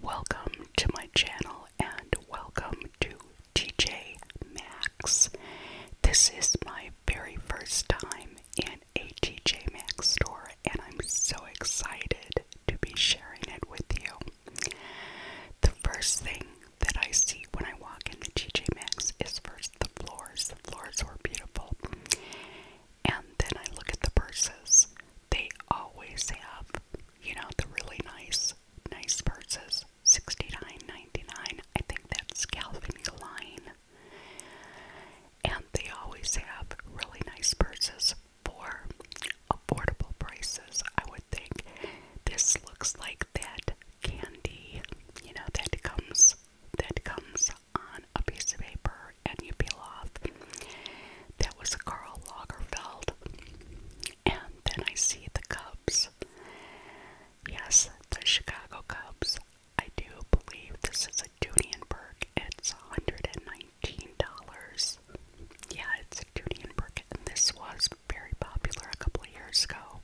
Welcome to my channel and welcome to TJ Maxx. This is my very first time in a TJ Maxx store and I'm so excited to be sharing it with you. The first thing that I see when I walk in the TJ Maxx is first the floors. The floors were beautiful. And then I look at the purses they always have, you know, the really nice, nice purses. sixty nine ninety nine. I think that's Calvin Klein. And they always have really nice purses for affordable prices, I would think. This looks like that candy, you know, that comes that comes on a piece of paper and you peel off. That was Carl Lagerfeld. And then I see the Cubs. Yes, the Chicago Cubs. I do believe this is a Dunienberg. It's $119. Yeah, it's a Dunienberg. And this was very popular a couple of years ago.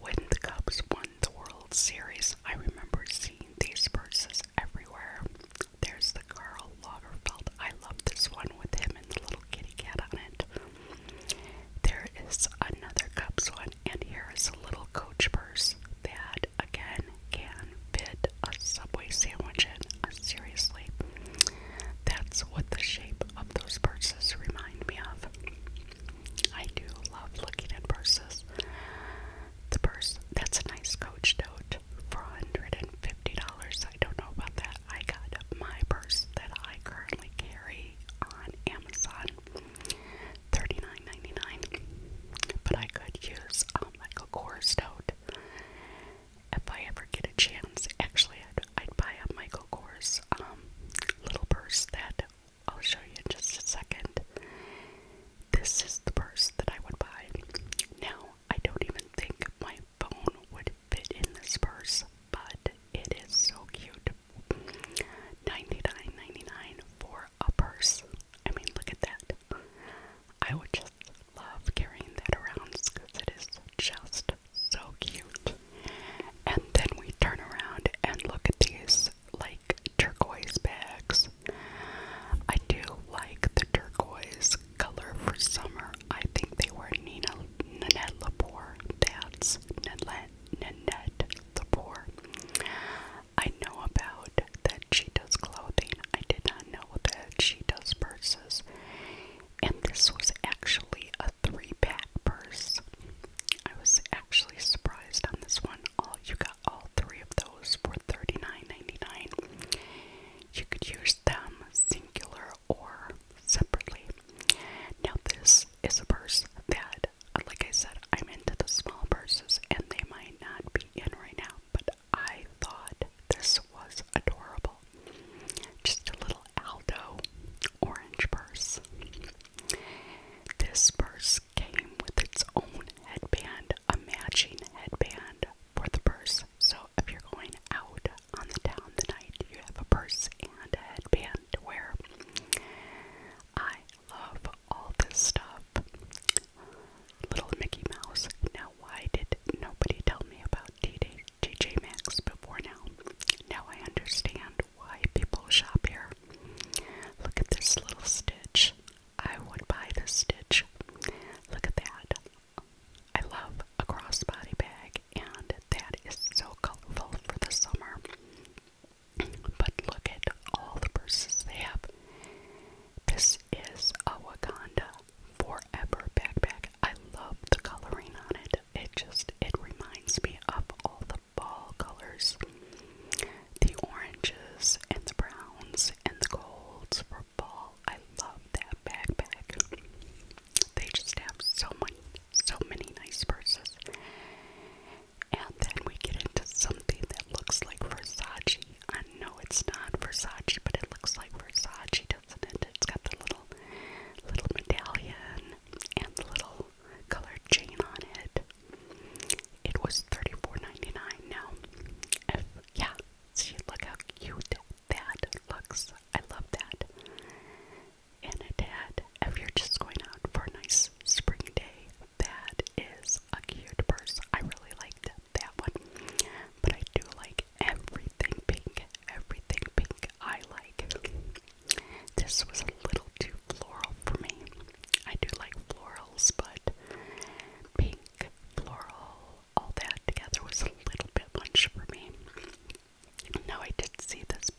When the Cubs won the World Series, I remember seeing these purses everywhere. There's the Karl Lagerfeld. I love this one with him and the little kitty cat on it. There is another cup one, and here is a little coach purse that again can bid a Subway sandwich and Uh, seriously, that's what the shape of those purses remind me of. I do love looking at purses. The purse, that's a nice coach tote shirt dollars I don't know about that. I got my purse that I currently carry on Amazon 39 But I could use um, like a Kors tote if I ever get a chance. Actually, I'd, I'd buy a Michael Kors um, little purse that I'll show you in just a second. This is the purse that I would buy. Now, I don't even think my phone would fit in this purse, but it is so cute. 99 for a purse. I mean, look at that. I would just love carrying that around because it is just so cute. And then we turn around and look at these like turquoise bags. I do like the turquoise color for summer. I think they were Nina Nanette Lepore. That's Nanette Nanette Lepore. I know about that she does clothing. I did not know that she does purses. And this was actually a three-pack purse. I was actually surprised on this one. All you got all three of those for $39.99. You could use them singular or separately. Now, this is a purse that, uh, like I said, I'm into the small purses and they might not be in right now, but I thought this was adorable. Just a little Aldo orange purse. This purse came with its own headband, a matching headband for the purse. So if you're going out on the town tonight, you have a purse and a headband to wear. I love all this stuff. Little Mickey Mouse. Now, why did nobody tell me about TJ Max before now? Now I understand why people shop here. Look at this little stitch. I would buy this stitch. Look at that. I love a crossbody bag, and that is so colorful for the summer. But look at all the purses they have. This is a Wakanda Forever backpack. I love the coloring on it. It just it reminds me of all the fall colors. The oranges and the browns and the golds for fall I love that backpack. They just have so much, so many nice purses. And then we get into something that looks like Versace. I know it's not Versace, but it looks like Versace, doesn't it? It's got the little, little medallion and the little colored chain on it. It was thirty-four ninety-nine. dollars now. yeah, See, look how cute that looks. I love that. And a dad, if you're just going out for a nice spring day, that is a cute purse. I really like that one. But I do like everything pink. Everything pink I like. This was a little too floral for me. I do like florals, but pink, floral, all that together was a little bit much for me. Now I did see this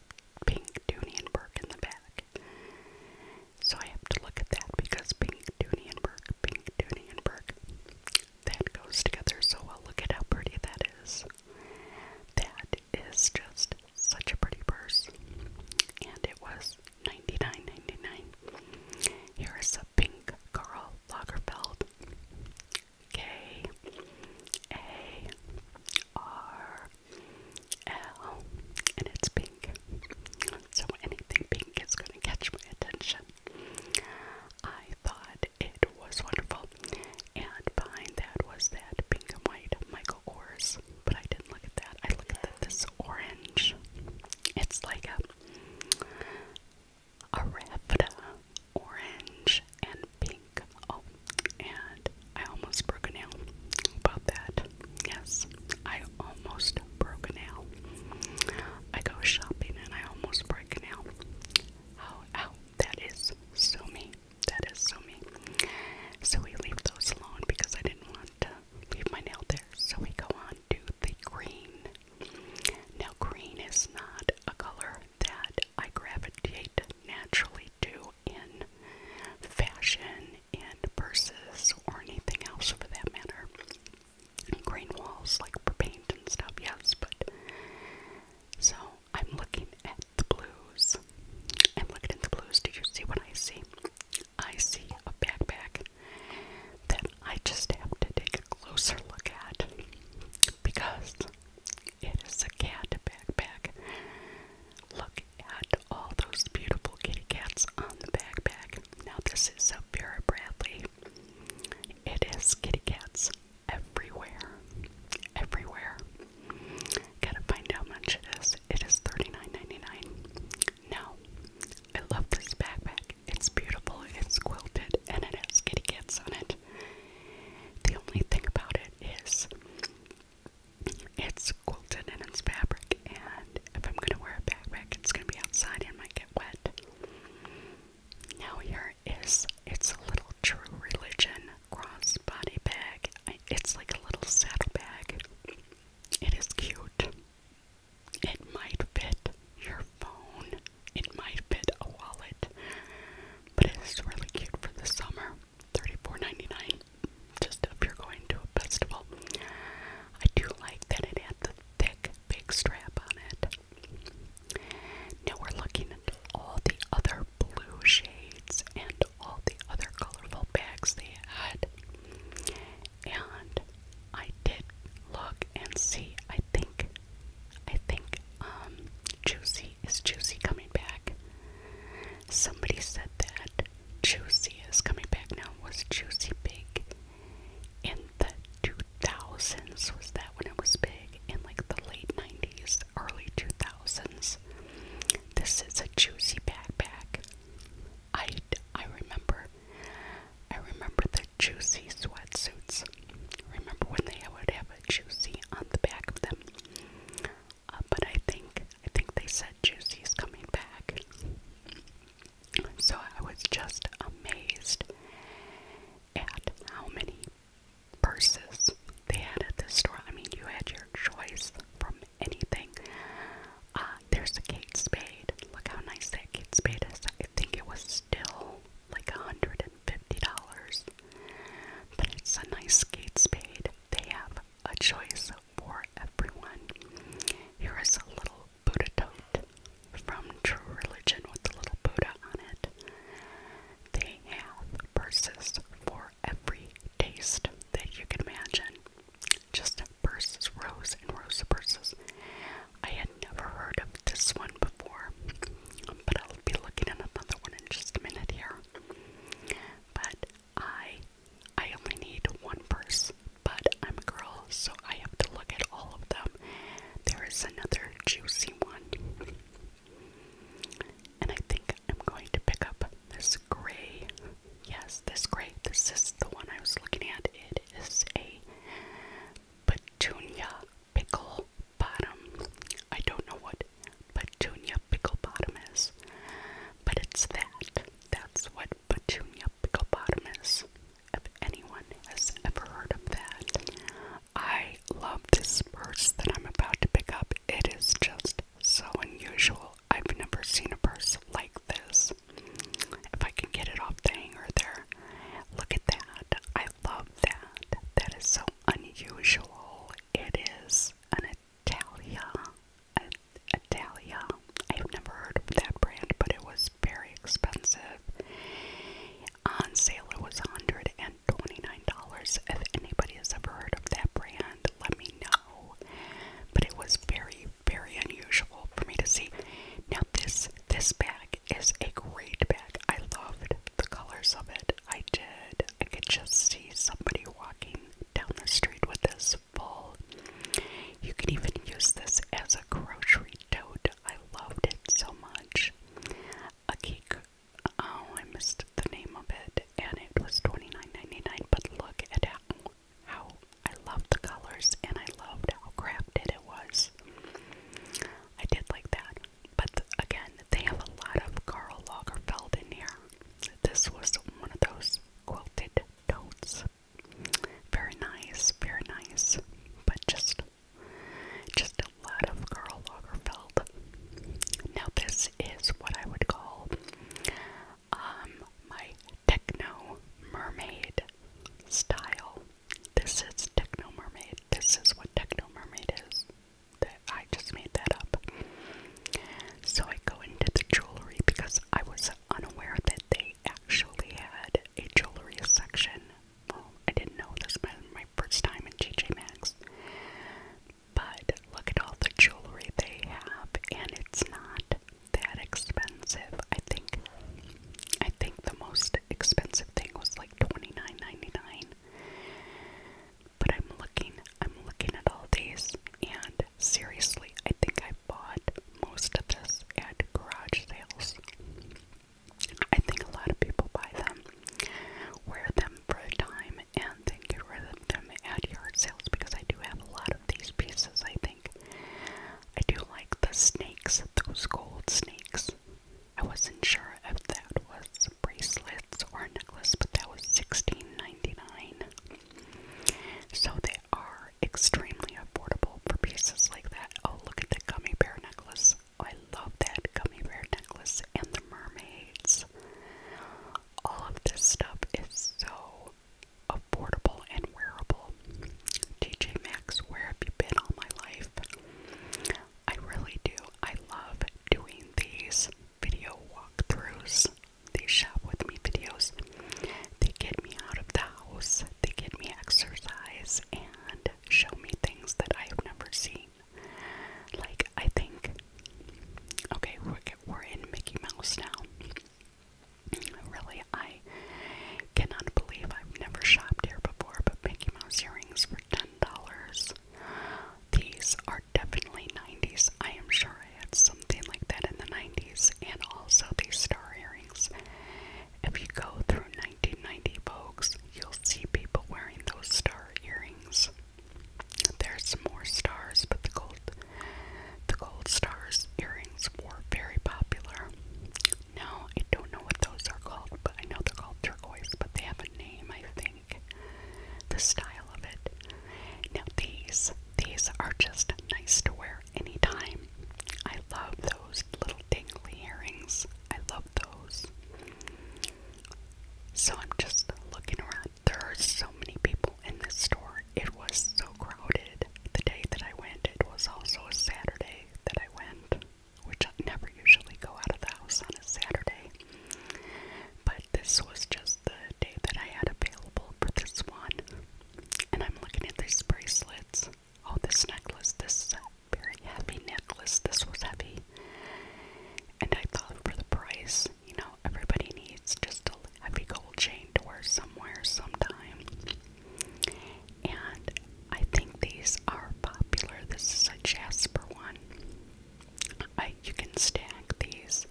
pink Dunienberg in the back. So I have to look at that because pink Dunienberg, pink Dunienberg, that goes together so well. Look at how pretty that is. That is just such a pretty purse. And it was 99 is a pink Carl Lagerfeld. K A R L, and it's pink. So anything pink is going to catch my attention. I thought it was wonderful, and behind that was that pink and white Michael Kors, but I didn't look at that. I looked at this orange. It's like a a Rafta orange and pink. Oh, and I almost broke a nail about that. Yes, I almost broke a nail. I go shopping and I almost break a nail. Oh, how, oh, that is so me. That is so me. So we leave those alone because I didn't want to leave my nail there. So we go on to the green now, green is not a color that I gravitate naturally to in fashion, in purses, or anything else for that matter. Green walls, like for paint and stuff, yes, but. So, I'm looking at the blues. I'm looking at the blues. Did you see what I see? I see a backpack that I just have to take a closer look at because it is a cat backpack. Look at all those beautiful kitty cats on the backpack. Now, this is a Vera Bradley. It is kitty cats everywhere. Everywhere. Gotta find how much it is. It is $39.99. Now, I love this backpack. It's beautiful, it's quilted, and it has kitty cats on it. The only thing about it is it's quilted in it's fabric, and if I'm gonna wear a backpack, it's gonna be outside and might get wet. Now here is it's a little true religion crossbody bag. it's like a little saddle bag. It is cute. It might fit your phone, it might fit a wallet, but it's really cute for the summer. Thirty four ninety nine. just if you're going to a festival. I do like that it had the thick, big strap on it. Now we're looking at all the other blue shades and all the other colorful bags they had. And I did look and see, I think I think um, Juicy is Juicy coming back. Somebody said that Juicy is coming back now. Was Juicy big in the 2000s? Was that when it was big? In like the late 90s, early 2000s? This is a Juicy backpack. I, I remember. I remember the juicy sweatsuits. Remember when they would have a juicy on the back of them? Uh, but I think I think they said juicy is coming back. So I was just amazed at how many purses they had at the store. I mean, you had your choice from anything. Uh, there's a Kate Spade. Look how nice that Kate Spade is. I think it was still like $150. But it's a nice skate spade. They have a choice for everyone. Here is a little Buddha tote from True Religion with the little Buddha on it. They have purses for every taste that you can imagine. Just purses, rows and rows of purses. I had never heard of this one before, but I'll be looking at another one in just a minute here. But I I only need one purse, but I'm a girl, so I have to look at all of them. There is another juicy one. And I think I'm going to pick up this gray. Yes, this gray. This is the one I was looking at. It is a petunia pickle bottom. I don't know what petunia pickle bottom is, but it's that. That's what petunia pickle bottom is. If anyone has ever heard of that, I love this purse that I'm about to pick up. It is just so unusual. I've never seen a purse like this. If I can get it off the hanger there, look at that. I love that. That is so unusual. It is an Italia. An Italia. I have never heard of that brand, but it was very expensive. On sale, it was $129. If anybody has ever heard of that brand, let me know. But it was very, very unusual for me to see. Now this this bag is a great bag. I loved the colors of it. I did. I could just see somebody walking down the street with this full. You could even use this as a grocery tote. I loved it so much. A cake. Oh, I missed the name of it, and it was 29 But look at how I loved the colors, and I loved how crafted it was. I did like that. But again, they have a lot of Karl Lagerfeld in here. This was one of those quilted totes. Very nice, very nice. But just just a lot of Karl Lagerfeld. Now this is what I would call um my techno mermaid style. This is techno mermaid. This is what Techno Mermaid is. That I just made that up. So I go into the jewelry because I was unaware that they actually had a jewelry section. Oh, I didn't know this my first time in TJ Maxx. But look at all the jewelry they have and it's not that expensive. I think I think the most expensive thing was like But I'm looking, I'm looking at all these, and seriously, I think I bought most of this at garage sales. I think a lot of people buy them, wear them for a time, and then get rid of them at yard sales because I do have a lot of these pieces, I think. I do like the snakes, those gold snakes. I wasn't sure if that was bracelets or a necklace, but that was $16.99. So they are extremely affordable for pieces like that. Oh, look at the gummy bear necklace. Oh, I love that gummy bear necklace and the mermaids. All of this stuff is so affordable and wearable. TJ Maxx, where have you been all my life? I really do. I love doing these video walkthroughs, these shop with me videos. They get me out of the house, they get me exercise, and show me things that I have never seen. Like, I think, okay, we're, we're in Mickey Mouse now. Really, I cannot believe I've never shopped here before, but Mickey Mouse earrings $10. These are definitely 90s. I am sure I had something like that in the 90s, and also these star earrings. If you go through 1990 Vogues, you'll see people wearing those star earrings. There's more stars, but the gold, the gold stars earrings were very popular. No, I don't know what those are called, but I know they're called turquoise, but they have a name, I think. The style of it. Now these, these are just nice to wear anytime. I love those little dangly earrings. I love those. So I'm just looking around. There are so many people in this store. It was so crowded. The day that I went, it was also a Saturday that I went which I never usually go out of the house on a Saturday. But this was just the day that I had available for this one. And I'm looking at these bracelets. Oh, this necklace. This is a very heavy necklace. This was heavy. And I thought for the price, you know, everybody needs just a heavy gold chain to wear somewhere sometime and I think these are popular. This is a Jasper one. I, you can stack these.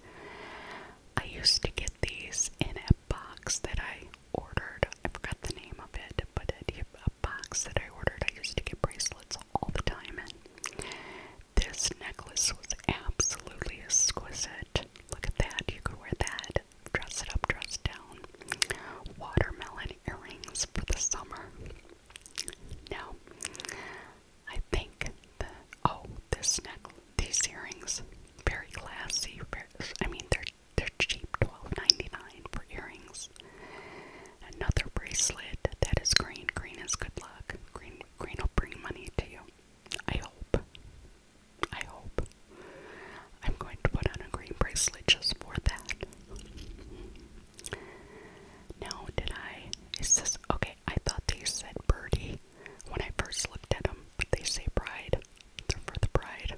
I used to get these in a box that I ordered. I forgot the name of it, but it, a box that I ordered. I used to get bracelets all the time This necklace was absolutely exquisite. Look at that. You could wear that. Dress it up, dress down. Watermelon earrings for the summer. Now, I think the oh, this necklace, these earrings, very classy. Very, I mean, they're they're cheap, twelve ninety nine for earrings. Another bracelet that is green. Green is good luck. Green green will bring money to you. I hope. I hope. I'm going to put on a green bracelet just for that. No, did I? Is this okay? I thought they said birdie when I first looked at them, but they say bride. they for the bride.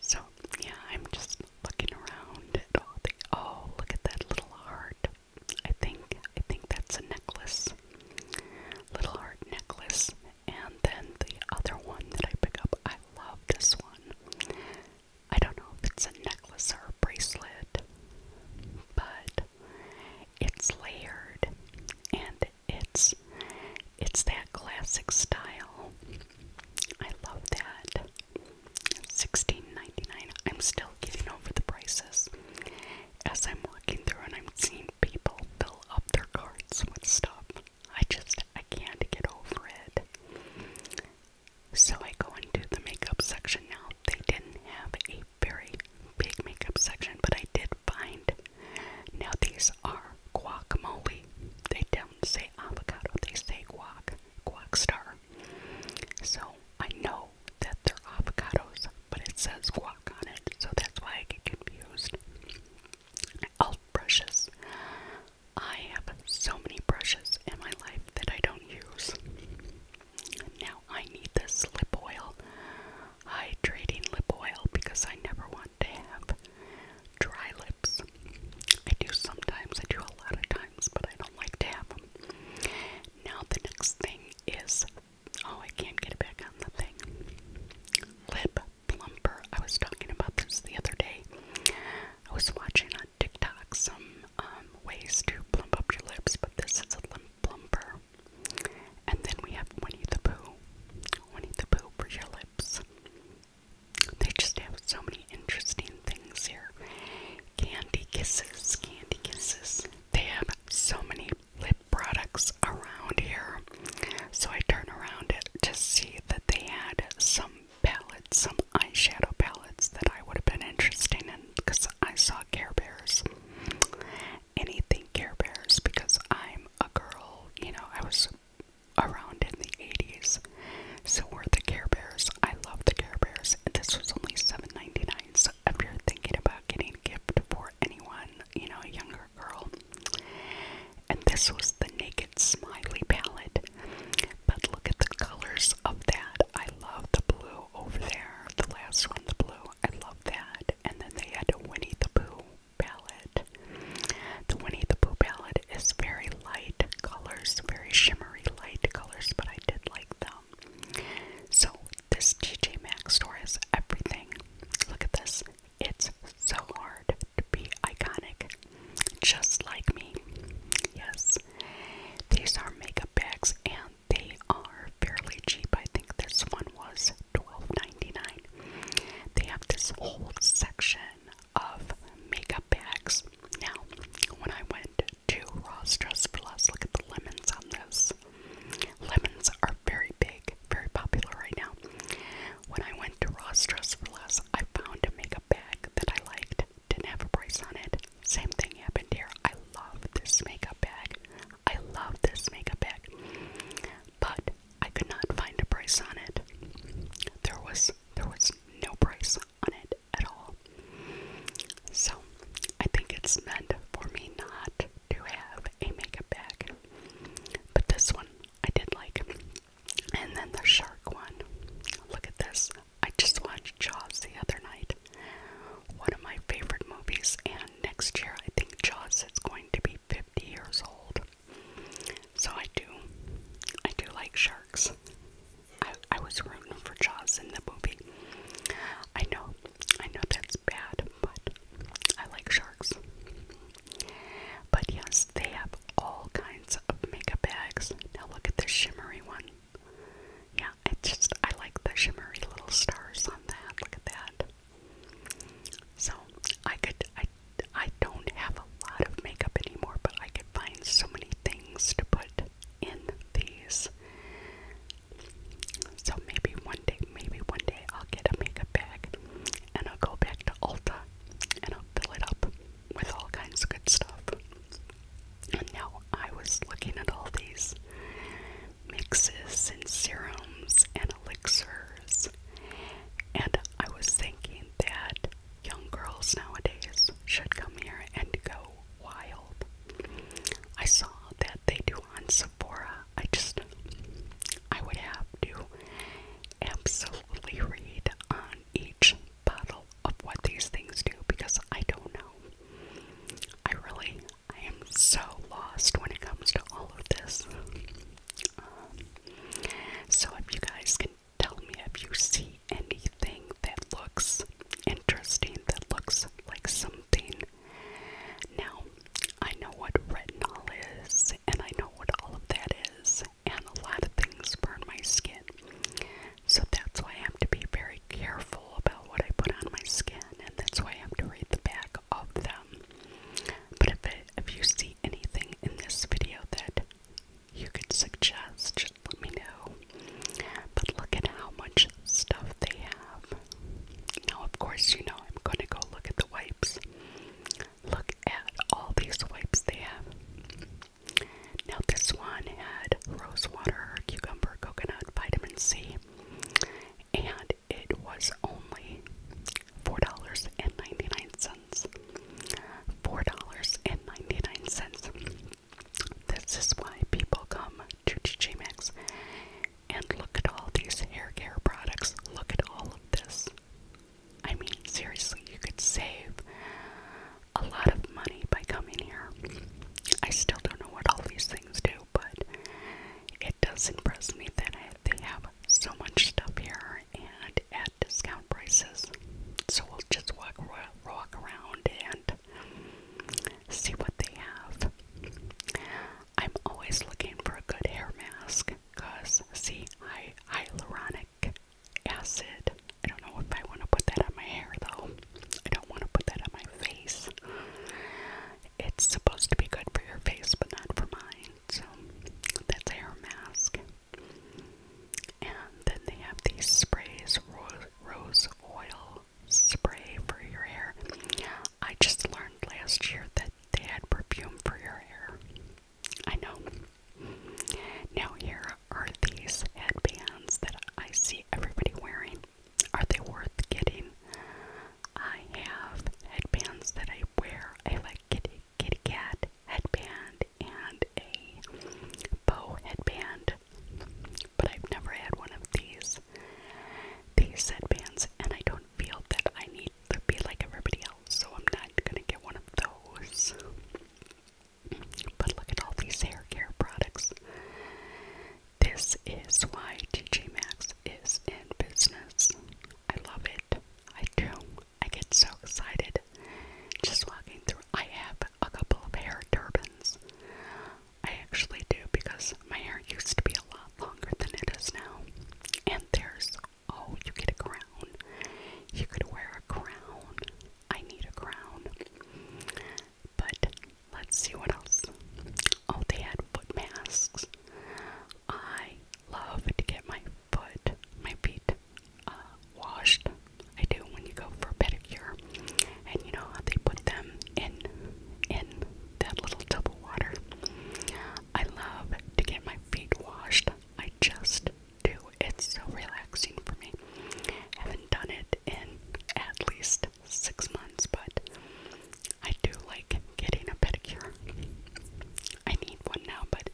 So yeah, I'm just looking around at all the. Oh, look at that little heart. I think I think that's a necklace. Little heart necklace. And then the other one that I pick up, I love this one. I don't know if it's a necklace or a bracelet, but it's layered and it's it's that classic style. I love that. Sixteen I'm still getting over the prices as I'm walking through and I'm seeing people fill up their carts with stuff. I just I can't get over it. So I go into the makeup section now. They didn't have a very big makeup section, but I did find now these are guacamole. They don't say avocado, they say guac, guac star. So I know that they're avocados, but it says guac on it, so that's why I get confused. Elf brushes. I have so many brushes in my life that I don't use. Now I need this lip oil, hydrating lip oil, because I never want to have dry lips. I do sometimes, I do a lot of times, but I don't like to have them. Now the next thing is, oh, I can't get it back on the thing. Lip plumper. I was talking about this the other day. I was watching on TikTok some um, ways to plump up your lips, but this is a lip plumper. And then we have Winnie the Pooh. Winnie the Pooh for your lips. They just have so many interesting things here. Candy kisses, candy kisses. They have so many lip products around here. So I turn around to see that they had some palettes, some eyeshadow palettes that I would have been interested in because I saw Care Bears. Anything Care Bears because I'm a girl, you know, I was around in the 80s. So were the Care Bears. I love the Care Bears. And this was only $7.99. So if you're thinking about getting a gift for anyone, you know, a younger girl. And this was the naked smiley palette. But look at the colors of that. I love the blue over there. The last one, the blue. I love that. And then they had a Winnie the Pooh palette. The Winnie the Pooh palette is very light colors, very shimmery light colors, but I did like them. So this TJ Maxx store has everything. Look at this. It's so hard to be iconic just like me. Yes, these are makeup bags and they are fairly cheap. I think this one was $12.99. They have this whole section of makeup bags. Now, when I went to Ross Dress for Less, look at the lemons on this. Lemons are very big, very popular right now. When I went to Ross Dress for Less, I found a makeup bag that I liked didn't have a price on it. Same thing happened here. I love this makeup bag. I love this makeup bag. But I could not find a price on it. There was there was no price on it at all. So I think it's meant for me not to have a makeup bag. But this one I did like. And then the shark one. Look at this. I just watched Jaws the other night. One of my favorite movies, and next year I think Jaws is going to be 50 years old. So I do. I do like sharks. I, I was rooting for Jaws in the movie. I know, I know that's bad, but I like sharks. But yes, they have all kinds of makeup bags. Now look at this shimmery one. Yeah, I just I like the shimmery little stars on that. Look at that. So I could I I don't have a lot of makeup anymore, but I could find so many things to put in these. So maybe one day, maybe one day I'll get a makeup bag and I'll go back to Ulta and I'll fill it up with all kinds of good stuff. And now I was looking at all these mixes and serums and elixirs, and I was thinking that young girls nowadays should come here and go wild. I saw that they do on Sephora. I just, I would have to absolutely read on each bottle of what these things do because I don't know. I really, I am so lost when it comes to all of this. Um, so if you guys can tell me if you see anything that looks interesting, that looks like something. Now, I know what retinol is, and I know what all of that is, and a lot of things burn my skin. So that's why I have to be very careful about what I put on my skin, and that's why I have to read the back of them. But if, if you see anything in this video that you could suggest, just let me know. But look at how much stuff they have. Now, of course, you know I'm going to go look at the wipes. Look at all these wipes they have. Now, this one had rosewater, cucumber, coconut, vitamin C, and it was only $4.99. $4.99. This is why people come to TJ Maxx and look at all these hair care products. Look at all of this. I mean, seriously, you could save a lot of money by coming here. I still don't know what all these things do, but it does impress me that they have so much stuff here and at discount prices. So we'll just walk, walk around and see what they have. I'm always looking for a good hair mask because, see, hy hyaluronic acid. I don't know if I want to put that on my hair though. I don't want to put that on my face. It's supposed to be good for your face, but not for mine. So that's hair mask. And then they have these sprays, rose, rose oil spray for your hair. I just learned last year that they had perfume for your hair. I know. Now, here are these headbands that I see everybody wearing. Are they worth getting? I have headbands that I wear. I like kitty, kitty cat headband and a bow headband, but I've never had one of these. These headbands, and I don't feel that I need to be like everybody else, so I'm not gonna get one of those. But look at all these hair care products. This is why TJ Maxx is in business. I love it. I do. I get so excited just walking through. I have a couple of hair turbans. I actually do because my hair used to be a lot longer than it is now. And there's, oh, you get a crown. You could wear a crown. I need a crown. But let's see what else. Oh, they had foot masks. I love to get my foot, my feet uh, washed. I do when you go for a pedicure. And you know how they put them in in that little tub of water. I love to get my feet washed. I just do. It's so relaxing for me. Haven't done it in at least six months, but I do like getting a pedicure. I need one now, but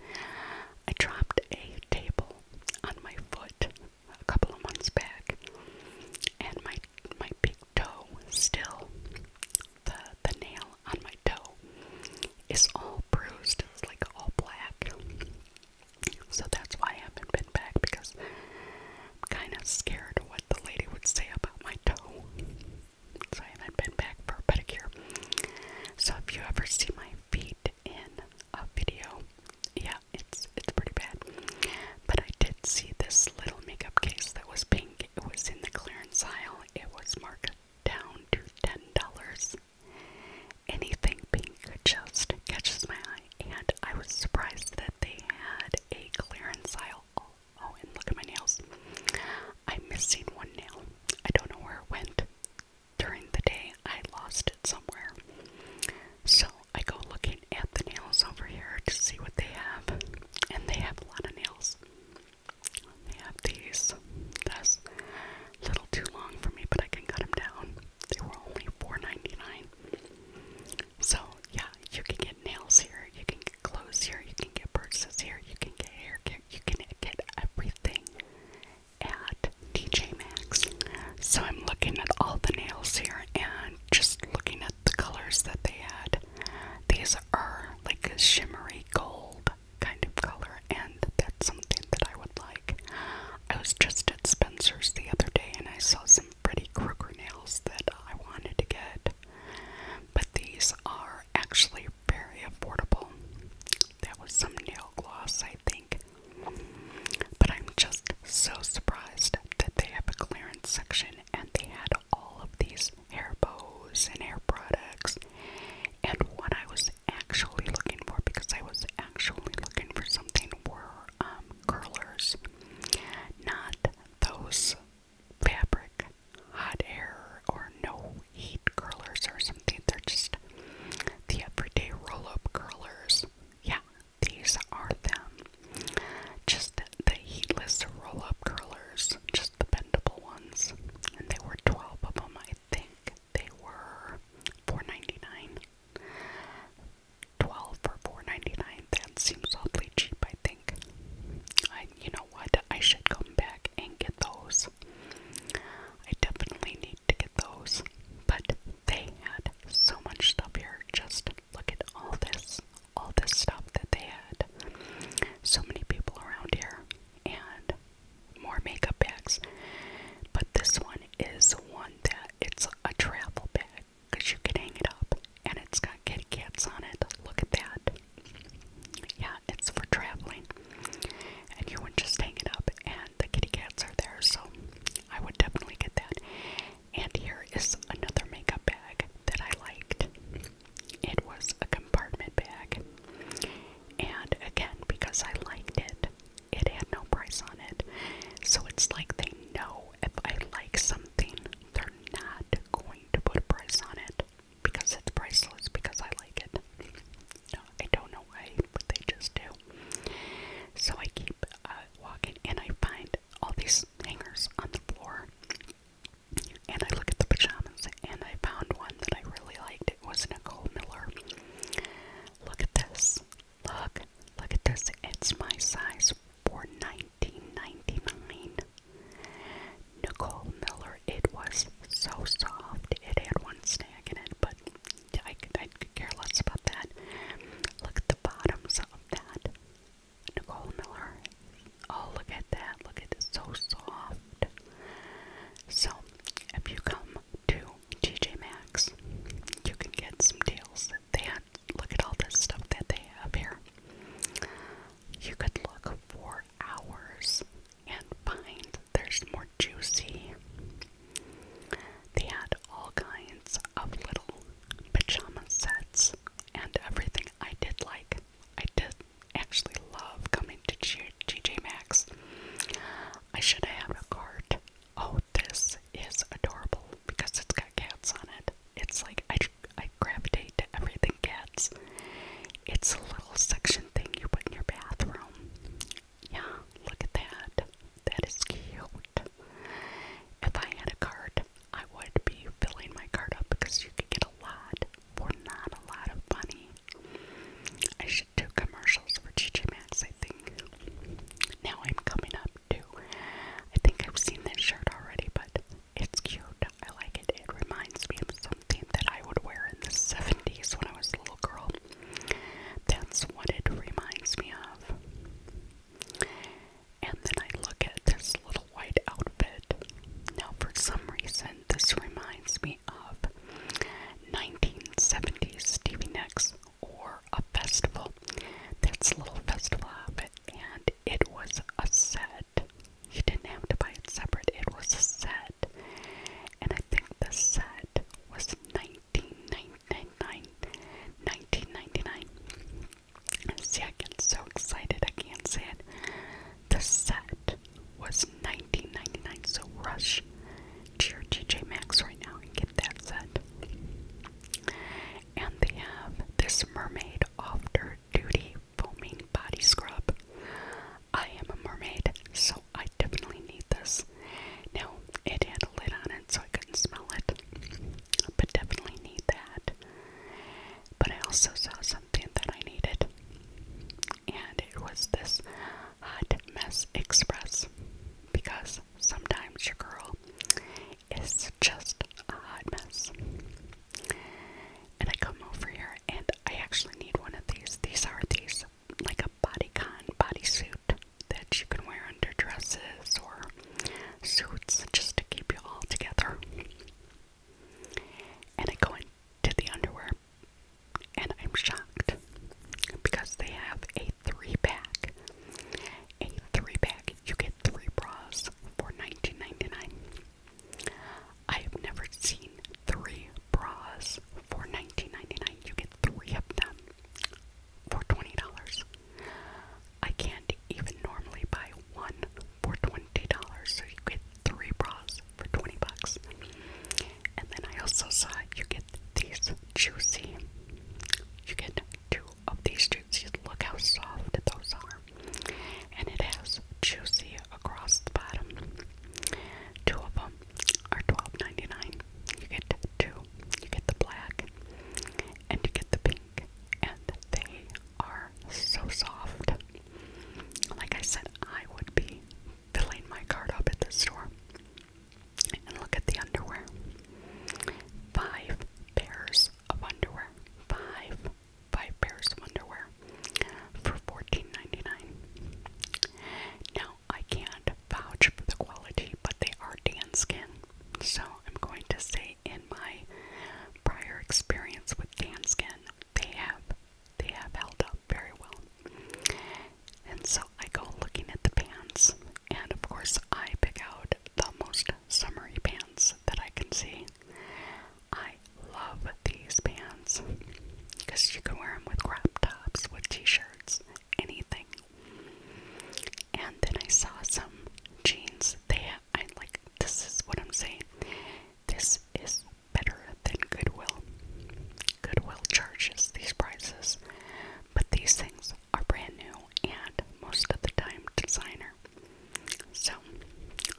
I dropped a table on my foot a couple of months back, and my my big toe still the the nail on my toe is all bruised. It's like all black. So that's why I haven't been back because I'm kind of scared of what the lady would say about my toe. So I haven't been back for pedicure. So if you ever see my feet in a video, yeah, it's it's pretty bad. But I did see this little makeup case that was pink. It was in the clearance aisle. It was marked down to ten dollars. Anything pink just catches my eye, and I was surprised that they had a clearance aisle. oh and look at my nails. I'm missing one nail. I don't know where it went. During the day, I lost it somewhere. So I go looking at the nails over here to see what they have, and they have a lot of nails. They have these, this, a little too long for me, but I can cut them down. They were only $4.99. So, yeah, you can get nails here, you can get clothes here, you can get purses here, you can get hair care, you can get everything at TJ Maxx. So, I'm looking at all the nails here and just looking at the colors that they had. These are like a shimmery gold kind of color, and that's something that I would like. I was just at Spencer's the other day and I saw some pretty Kruger nails that I wanted to get, but these are actually very affordable. That was some nail gloss, I think. But I'm just so surprised that they have a clearance section and they had all of these hair bows and hair products. And what I was actually looking for, because I was actually looking for something, were um, curlers, not those fabric hot air or no heat curlers or something. They're just the everyday roll up curlers. Yeah, these are them. Just the heatless roll up curlers, just the bendable ones. And they were 12 of them, I think. They were $4.99. 12 for $4.99. That seems awfully cheap, I think. I, you know what? I should come back and get those. I definitely need to get those. But they had so much stuff here. Just look at all this, all this stuff that they had. So many people around here, and more makeup bags. But this one is one that it's a travel bag because you can hang it up and it's got kitty cats on it. Look at that. Yeah, it's for traveling. And you would just hang it up and the kitty cats are there, so I would definitely get that. And here is another makeup bag that I liked. It was a compartment bag. And again, because I liked it, it had no price on it. So it's like they know if I like something, they're not going to put a price on it because it's priceless because I like it. I don't know why, but they just do. So I keep uh, walking and I find all these hangers on the floor. And I look at the pajamas and I found one that I really liked. It was Nicole Miller. Look at this. Look, look at this. It's my size for $19.99. Nicole Miller, it was so soft. It had one snag in it, but I could, I care less about that. Look at the bottoms of that. Nicole Miller. Oh, look at that. Look at this. So soft. So, if you come to TJ Max, you can get some deals. They had, look at all this stuff that they have here. You could look for hours and find there's more juicy. They had all kinds of little pajama sets and everything. I did like, I did actually love coming to G GJ Maxx. I should have a cart. Oh, this is adorable because it's got cats on it. It's like I I gravitate to everything cats. It's a little suction thing you put in your bathroom. Yeah, look at that. That is cute. If I had a card, I would be filling my card up because you could get a lot for not a lot of money. I should do commercials for Gigi Max, I think. Now I'm coming up to, I think I've seen this shirt already, but it's cute. I like it. It reminds me of something that I would wear in the 70s when I was a little girl. That's what it reminds me of. And then I look at this little white outfit. Now, for some reason, this reminds me of 1970s Stevie Nicks or a festival. That's a little festival outfit, and it was a set. You didn't have to buy it separate, it was a set. And I think the set was 19 dollars See, I get so excited, I can't say it. The set was nineteen ninety nine. so Rush to your TJ Maxx right now and get that set. And they have this mermaid after duty foaming body scrub. I am a mermaid, so I definitely need this. Now it had a lid on it so I couldn't smell it. But definitely need that. But I also saw something that I needed. And it was this Hot Mess Express because sometimes your girl is just a hot mess. And I come over here and I actually need one of these. These are these like a bodycon bodysuit that you can wear under dresses or suits just to keep you all together. And I go into the underwear and I'm shocked because they have a three pack. A three pack, you get three bras for nineteen ninety nine. I have never seen three bras for nineteen ninety nine. You get three of them for $20. I can't even normally buy one for $20, so you get three bras for 20 bucks. And then I also saw you get these juicy. You get two of these juices. Look how soft those are. And it has juicy across the bottom. Two of them are twelve ninety nine. You get two. You get the black and you get the pink. And they are so soft. Like I said, I would be filling my cart up at the store. And look at the underwear. Five pairs of underwear. Five, five pairs of underwear for fourteen ninety nine. Now, I can't vouch for the quality, but they are tan skin. So I'm going to say in my prior experience with tan skin, they have they have held up very well. And so I go looking at the pants and of course I pick out the most summery pants that I can see. I love these pants because you can wear them with crop tops, with t-shirts, anything. And then I saw some jeans. They, I like. This is what I'm saying. This is better than Goodwill. Goodwill charges these prices, but these things are brand new and most of the time designer. So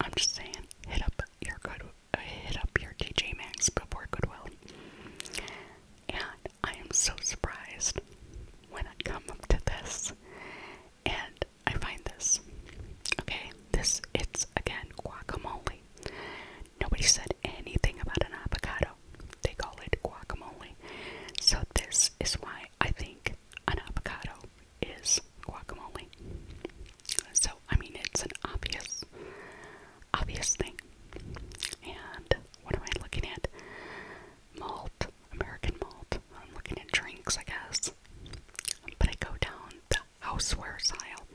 I'm just saying, hit up your good, uh, hit up your TJ Maxx before Goodwill. And I am so surprised when I come up to this, and I find this. Okay, this it's again guacamole. Nobody said anything about an avocado. They call it guacamole. So this is why I think an avocado is guacamole. So I mean it's an obvious obvious thing. And what am I looking at? Malt, American malt. I'm looking at drinks I guess. But I go down the housewares aisle.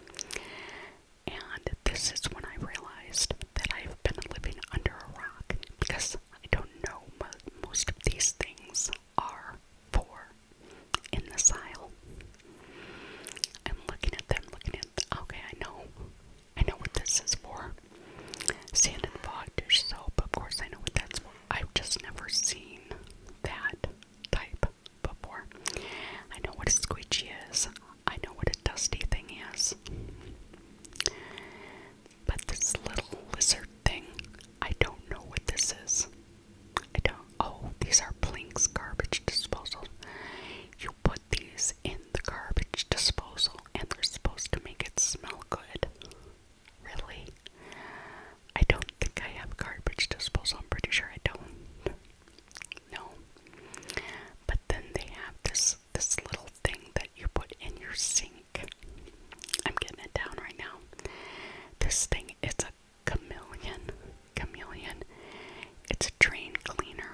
And this is when I realized that I've been living under a rock because I don't know what most of these things are for in the aisle. I'm looking at them, looking at them. Okay, I know. I know what this is for. Sand and fog dish soap, of course I know what that's for. I've just never seen that type before. I know what a squeegee is. I know what a dusty thing is. But this little lizard thing, I don't know what this is. I don't. Oh, these are Plink's garbage disposal. You put these in the garbage disposal and they're supposed to make it smell good. Really? I don't think I have garbage disposal. I'm pretty sure I don't. No. But then they have this this little thing that you put in your sink. I'm getting it down right now. This thing, it's a chameleon. Chameleon. It's a drain cleaner,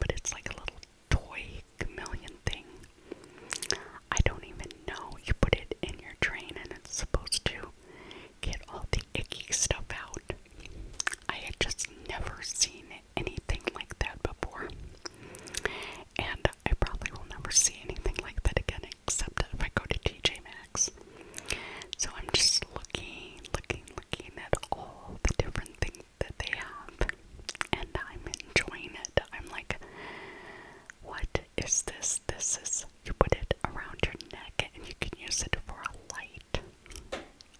but it's like a little toy chameleon thing. I don't even know. You put it in your drain and it's supposed to get all the icky stuff out. I had just never seen anything like that before. And I probably will never see anything like that again except if I go to TJ Maxx. So I'm just looking, looking, looking at all the different things that they have and I'm enjoying it. I'm like, what is this? This is, you put it around your neck and you can use it for a light.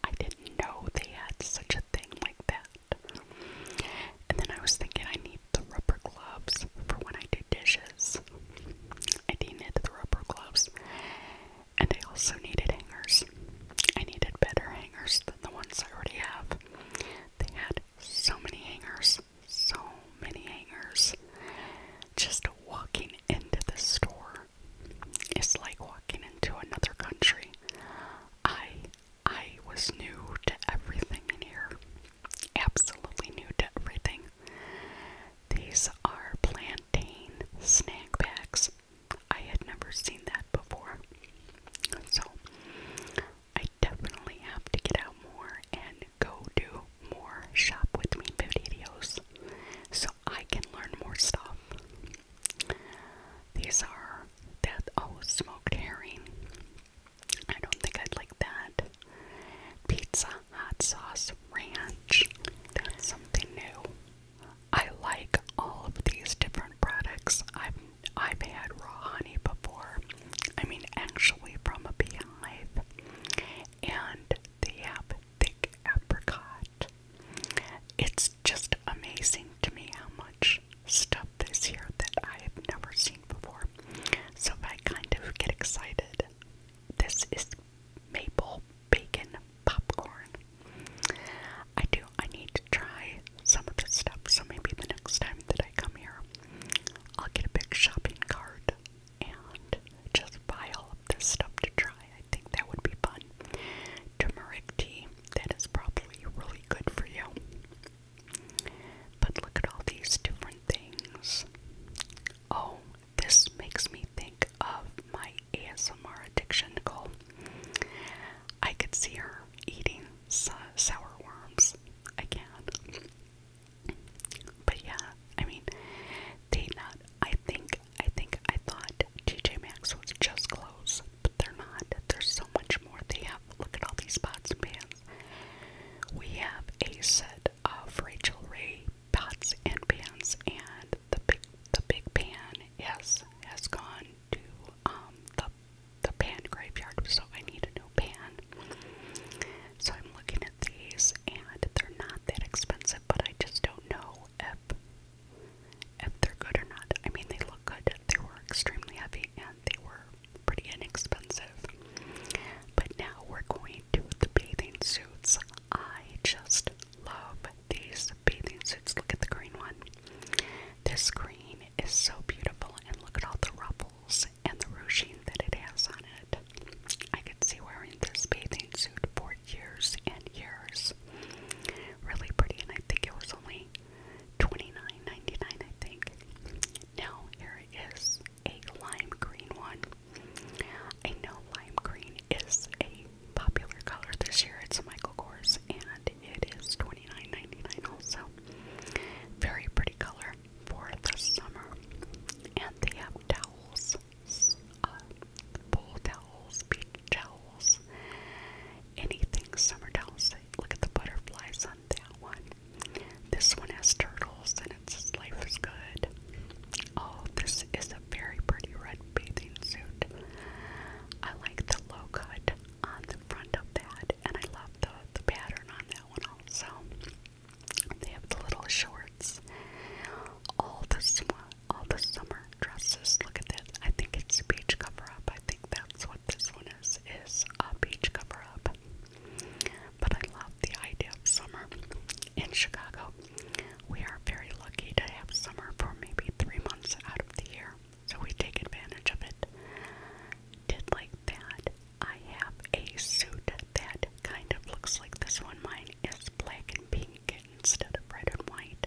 I didn't know they had such a thing like that. And then I was thinking I need the rubber gloves for when I do dishes. I needed the rubber gloves. And I also needed hangers. I needed better hangers than the ones I already have. They had so many hangers. So many hangers. Just walking into the store is like walking into another country. I I was new to everything in here. Absolutely new to everything. These are plantain snack bags. I had never seen that before. So I definitely have to get out more and go do more shop with me videos so I can learn more stuff. These are that oh smoked herring. I don't think I'd like that. Pizza hot sauce ranch. That's something new. I like all of these different products. I've I've had raw honey before. I mean actually from a beehive. And they have thick apricot. It's just amazing to me how much stuff this year that I have never seen before. So I kind of get excited. This is maple bacon popcorn. I do, I need to try some of this stuff, so maybe the next time that I come here, I'll get a big shopping cart and just buy all of this stuff to try. I think that would be fun. Turmeric tea, that is probably really good for you. But look at all these different things. Oh, this makes me think of my ASMR addiction, Nicole. I could see her eating sour worms again. But yeah, I mean, they not. I think, I think, I thought TJ Maxx was just clothes, but they're not. There's so much more. They look at all these pots and We have a set of Rachel Ray pots and pans, and the big, the big pan has, has gone to um, the, the pan graveyard, so I need a new pan. So I'm looking at these, and they're not that expensive, but I just don't know if if they're good or not. I mean, they look good. They were extremely heavy and they were pretty inexpensive. But now we're going to the bathing suits. I just love these bathing suits. Look at the green one. This green is so beautiful, and look at all the ruffles and the ruching that it has on it. I could see wearing this bathing suit for years and years. Really pretty, and I think it was only $29.99 I think. Now here is a lime green one. I know lime green is a popular color this year. It's Michael Kors and it is $29.99 also. Very pretty color for the summer. And they have towels, uh, pool towels, beach towels, anything summer towels. Look at the butterflies on that one. This one has turtles and its life is good. Oh, this is a very pretty red bathing suit. I like the low cut on the front of that, and I love the, the pattern on that one also. They have the little shorts. All the, all the summer dresses, look at that. I think it's a beach cover up. I think that's what this one is is a beach cover up. But I love the idea of summer in Chicago. We are very lucky to have summer for maybe three months out of the year, so we take advantage of it. Did like that. I have a suit that kind of looks like this one. Mine is black and pink instead of red and white,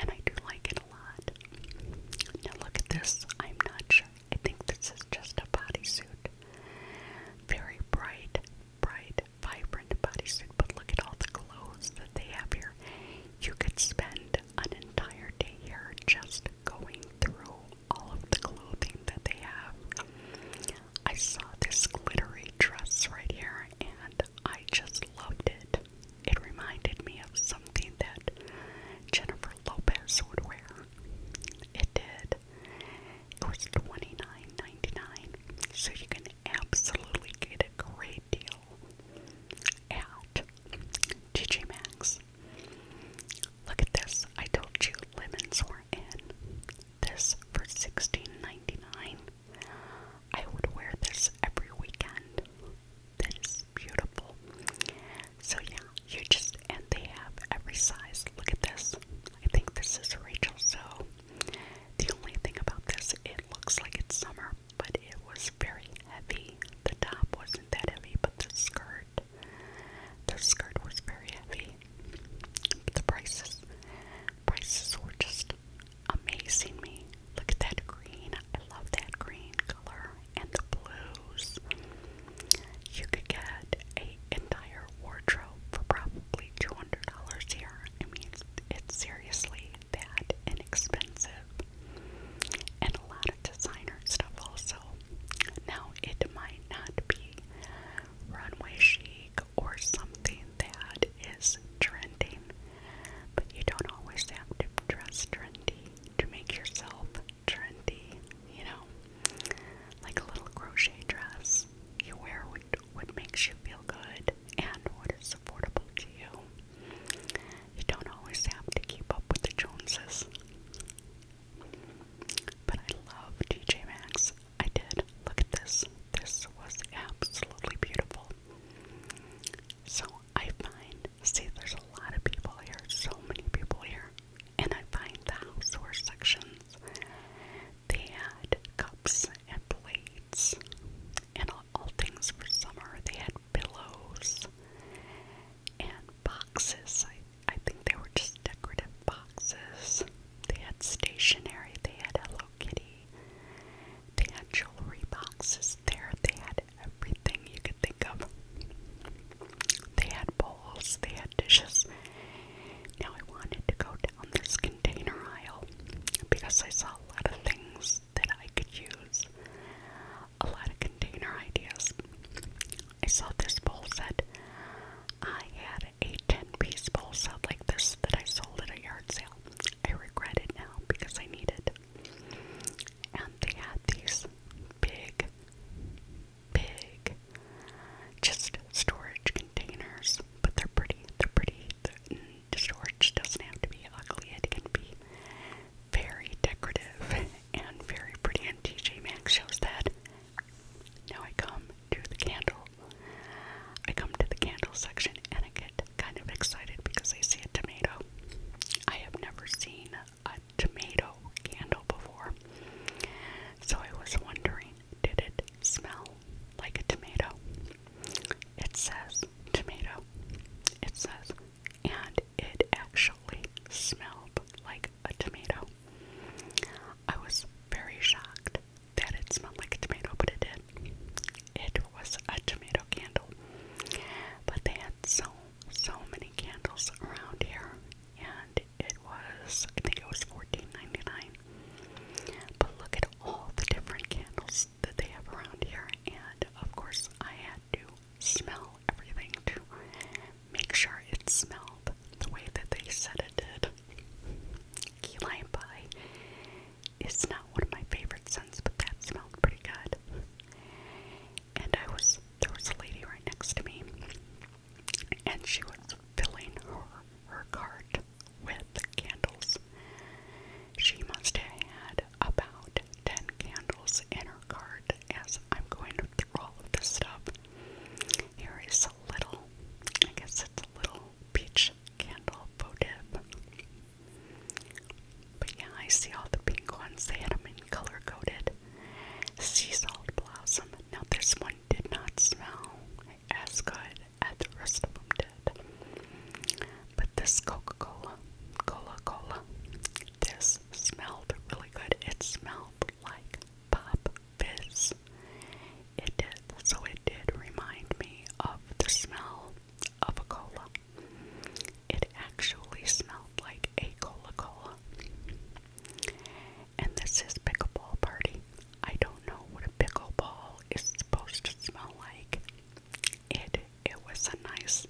and I do like it a lot. Now, look at this. I'm not sure I think this is just a bodysuit. Very bright, bright, vibrant bodysuit, but look at all the clothes that they have here. You could spend an entire day here just going through all of the clothing that they have. I saw this glittery dress right here and I just loved it. It reminded me of something that Jennifer Lopez would wear. It did. It was 29 99 so you can absolutely get a great deal at TJ Maxx. Look at this. I told you lemons were in. This for sixteen ninety nine. I would wear this every weekend. This is beautiful. So yeah, you just and they have every size. Look at this. I think this is Rachel. So the only thing about this, it looks like it's summer, but it was very heavy. The top wasn't that heavy, but the skirt, the skirt was very heavy. The prices, prices were just amazing me. Look at that green. I love that green color and the blues. You could get a entire wardrobe for probably two hundred dollars here. I mean, it's, it's seriously that inexpensive, and a lot of designer stuff also. Now, it might not be runway chic or something that is trending, but you don't always have to dress trendy to make yourself trendy, you know, like a little crochet dress you wear what, what makes you feel good and what is affordable to you. You don't always have to keep up with the Joneses. But I love TJ Maxx. I did. Look at this. This was absolutely beautiful. So I find See, there's a lot of people here, so many people here. And I find the houseware sections. They had cups and plates and all, all things for summer. They had pillows and boxes. I, I think they were just decorative boxes. They had stationery. They had Hello Kitty. They had jewelry boxes there. They had everything you could think of. They had bowls, they had dishes. Now I wanted to go down this container aisle because I saw a lot of things that I could use, a lot of container ideas. I saw this bowl set. I had a 10 piece bowl set like this that I sold at a yard sale. I regret it now because I need it. And they had these big big. Just storage containers, but they're pretty. They're pretty. The, mm, storage doesn't have to be ugly. It can be very decorative and very pretty. And TJ Maxx shows that. Now I come to the candle. I come to the candle section and I get kind of excited because I see a tomato. I have never seen a tomato candle before. So I was wondering, did it smell like a tomato? It says tomato. It says, and it actually smelled like a tomato. I was very shocked that it smelled like a tomato, but it did. It was a tomato candle. But they had so so many candles around here, and it was, I think it was fourteen ninety nine. But look at all the different candles that they have around here, and of course, I had to smell everything to make sure it smelled the way that they said it did. Key lime pie is not one of my favorite scents, but that smelled pretty good and I was there was a lady right next to me, and she was filling her her cart with candles. She must have had about ten candles in her cart. As I'm going to throw all of this stuff, here is a little, I guess it's a little peach candle faux dip. But yeah, I see all the pink ones. They had them in color coded sea salt blossom. Now, this one did not smell as good as the rest of them did. But this Coca Cola, Cola Cola, this smelled really good. It smelled like pop fizz. It did. So, it did remind me of the smell of a cola it actually smelled like a Coca Cola. And this is pickleball party. I don't know what a pickleball is supposed to smell like. It it was a nice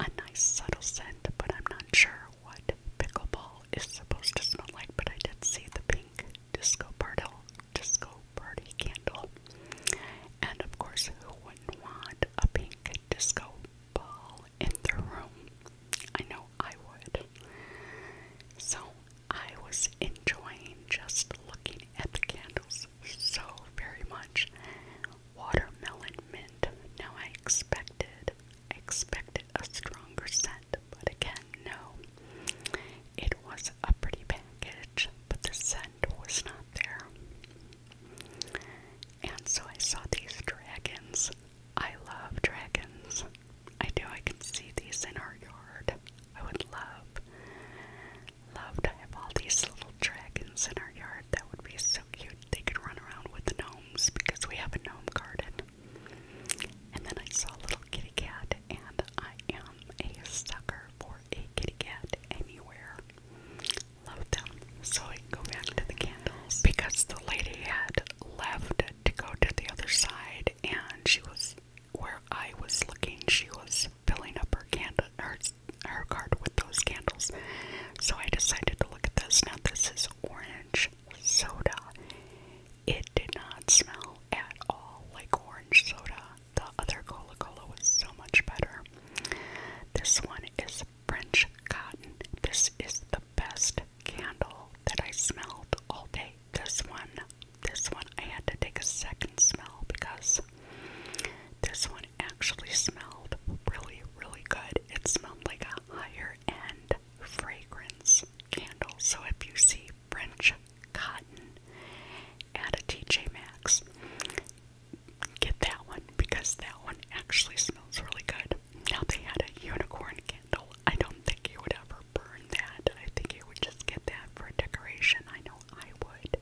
a nice subtle scent, but I'm not sure what pickleball is supposed to smell like, but I did see the pink disco party disco party candle. And of course who wouldn't want a pink disco ball? in their room. I know I would. So I was enjoying just looking at the candles so very much. Watermelon mint. Now I expected I expected a stronger scent, but again no. It was a pretty package, but the scent was not there. And so I saw these dragons. I love dragons. I do. I can see these in our yard. I would love, love to have all these little dragons in our yard. That would be so cute. They could run around with the gnomes because we have a gnome garden. And then I saw a little kitty cat, and I am a sucker for a kitty cat anywhere love them. So I go back to the candles because the lady had left to go to the other side, and she was where I was looking. She was filling up her candle, her her card with those candles. So I decided to look at this. Now this is orange soda. It did not smell at all like orange soda. The other cola cola was so much better. This one is French cotton. This is the best candle that I smelled all day. This one, this one, I had to take a second smell because this one actually smelled really, really good. It smelled like a higher end fragrance candle. So if you see French cotton at a TJ Max, get that one because that one actually smells really good. Now they had a unicorn candle. I don't think you would ever burn that. I think you would just get that for decoration. I know I would.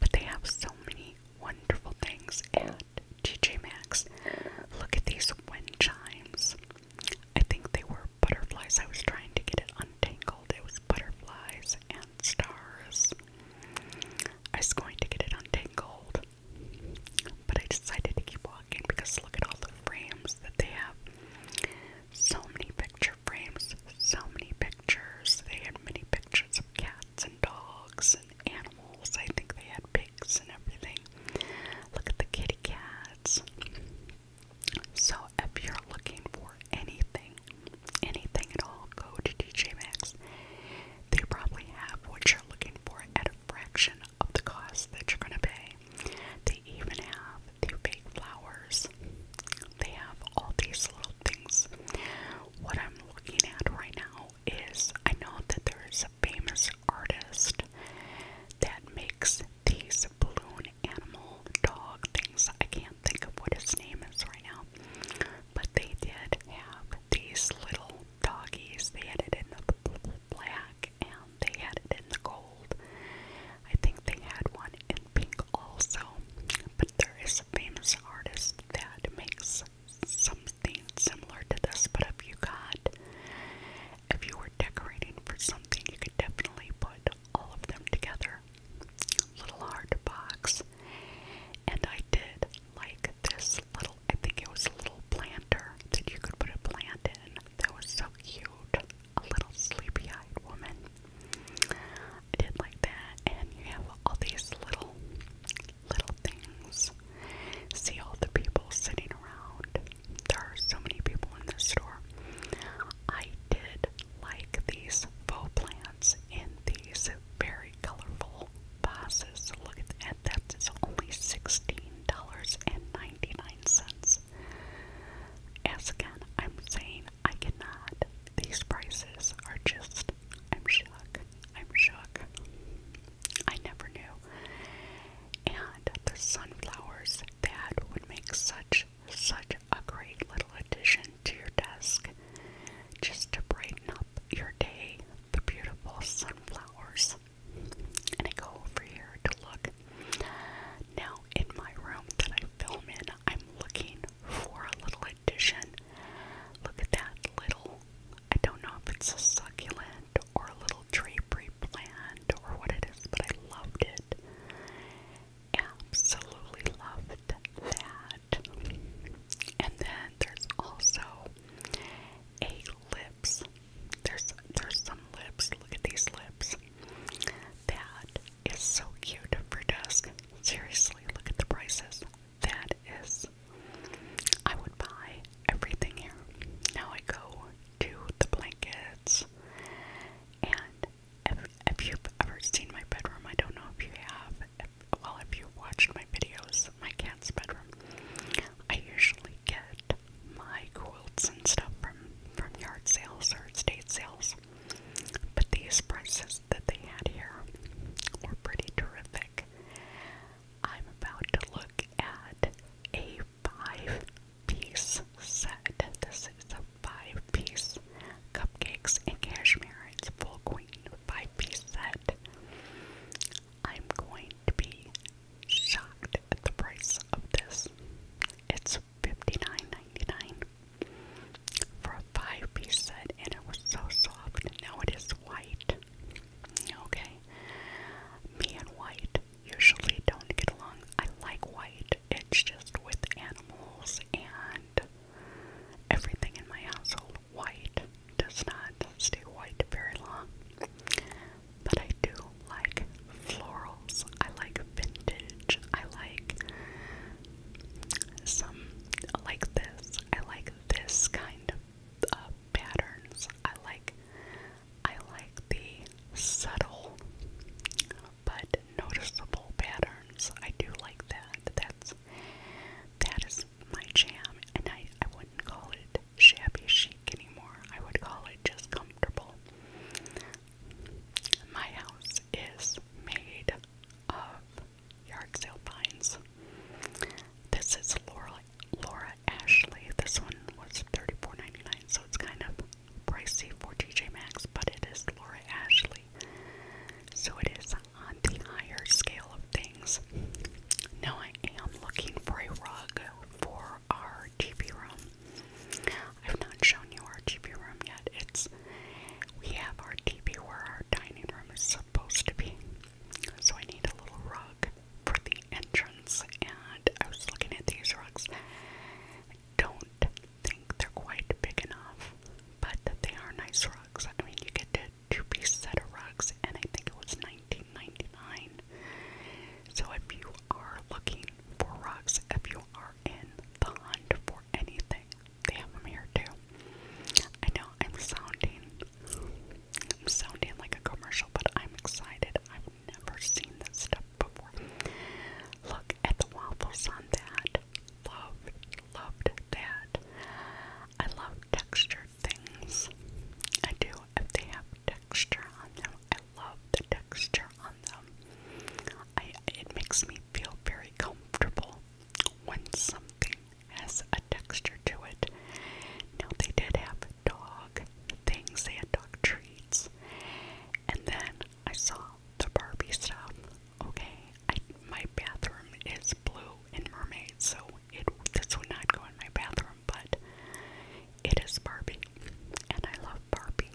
But they have so many wonderful things at TJ Maxx. Look at these wind chimes. I think they were butterflies. I was trying to get it untangled. It was butterflies and stars. I was going to get it untangled. But I decided to keep walking because look at all the frames that they have. So many picture frames, so many pictures. They had many pictures of cats and dogs and animals. I think they had pigs and everything. Look at the kitty cats. So if you're looking for anything, anything at all, go to DJ Maxx. They probably have what you're looking for at a fraction of the cost that you're going to pay. They even have the fake flowers. They have all these little things. What I'm looking at right now is I know that there is a famous artist that makes these balloon animal dog things. I can't think of what his name is right now. But they did have these little doggies. They had it in the black and they had it in the gold. I think they had one in pink also. But there is a famous artist that makes something similar to this. But if you got, if you were decorating for something, you could definitely put all of them together. Little art box. And I did like this little, I think it was a little planter that you could put a plant in. That was so cute. A little sleepy eyed woman. I did like that. And you have all these little, little things. See all the people sitting around. There are so many people in this store. I did like these faux plants in these very colorful vases. Look at that, that is only $16.99. As again, I'm saying I cannot. These prices are just, I'm shook. I'm shook. I never knew. And the sunflowers, that would make such, such a great little addition to your desk just to brighten up your day the beautiful sunflowers. And I go over here to look. Now, in my room that I film in, I'm looking for a little addition. Look at that little, I don't know if it's a succulent or a little drapery plant or what it is, but I loved it. Absolutely loved that. And then there's also a lips. There's there's some lips. Look at these lips. That is so cute for dusk. Seriously, look at the prices. That is I would buy everything here. Now I go to the blankets and if, if you've ever seen my bedroom, I don't know if you have well, if you watched my videos, my cat's bedroom, I usually get my quilts and stuff from from yard sales or estate sales. But these prices that they had here were pretty terrific. I'm about to look at a five piece set. This is a five piece cupcakes and cashmere. It's full queen five piece set. I'm going to be shocked at the price of this. It's fifty nine ninety nine for a five piece set, and it was so soft. Now it is white. Okay. Me and white usually don't get along. I like white, it's just with animals and everything in my household white does not stay white very long. But I do like florals. I like vintage. I like some like this. I like this kind of uh, patterns. I like I like the subtle but noticeable patterns. I do like that. That's that is my jam and I, I wouldn't call it not shabby chic anymore. I would call it just comfortable. My house is made of yard sale vines. This is Laura Laura Ashley. This one was $34.99, so it's kind of pricey for TJ Maxx, but it is Laura Ashley. So it is on the higher scale scale of things. Now I am looking for a rug for our TV room. I've not shown you our TV room yet. It's we have our TV where our dining room is supposed to be. So I need a little rug for the entrance and I was looking at these rugs. I don't think they're quite big enough, but they are nice rugs. I mean you get to to be set of rocks, and I think it was 1999. So if you are looking for rugs, if you are in the hunt for anything, they have them here too. I know I'm sounding, I'm sounding like a commercial, but I'm excited. I've never seen this stuff before. Look at the waffles on that. Loved, loved that. I love textured things. I do if they have texture on them. I love the texture on them. I it makes me feel very comfortable when something has a texture to it. Now they did have dog things, they had dog treats. And then I saw the Barbie stuff. Okay, my bathroom is blue and mermaid, so it this would not go in my bathroom, but it is Barbie, and I love Barbie.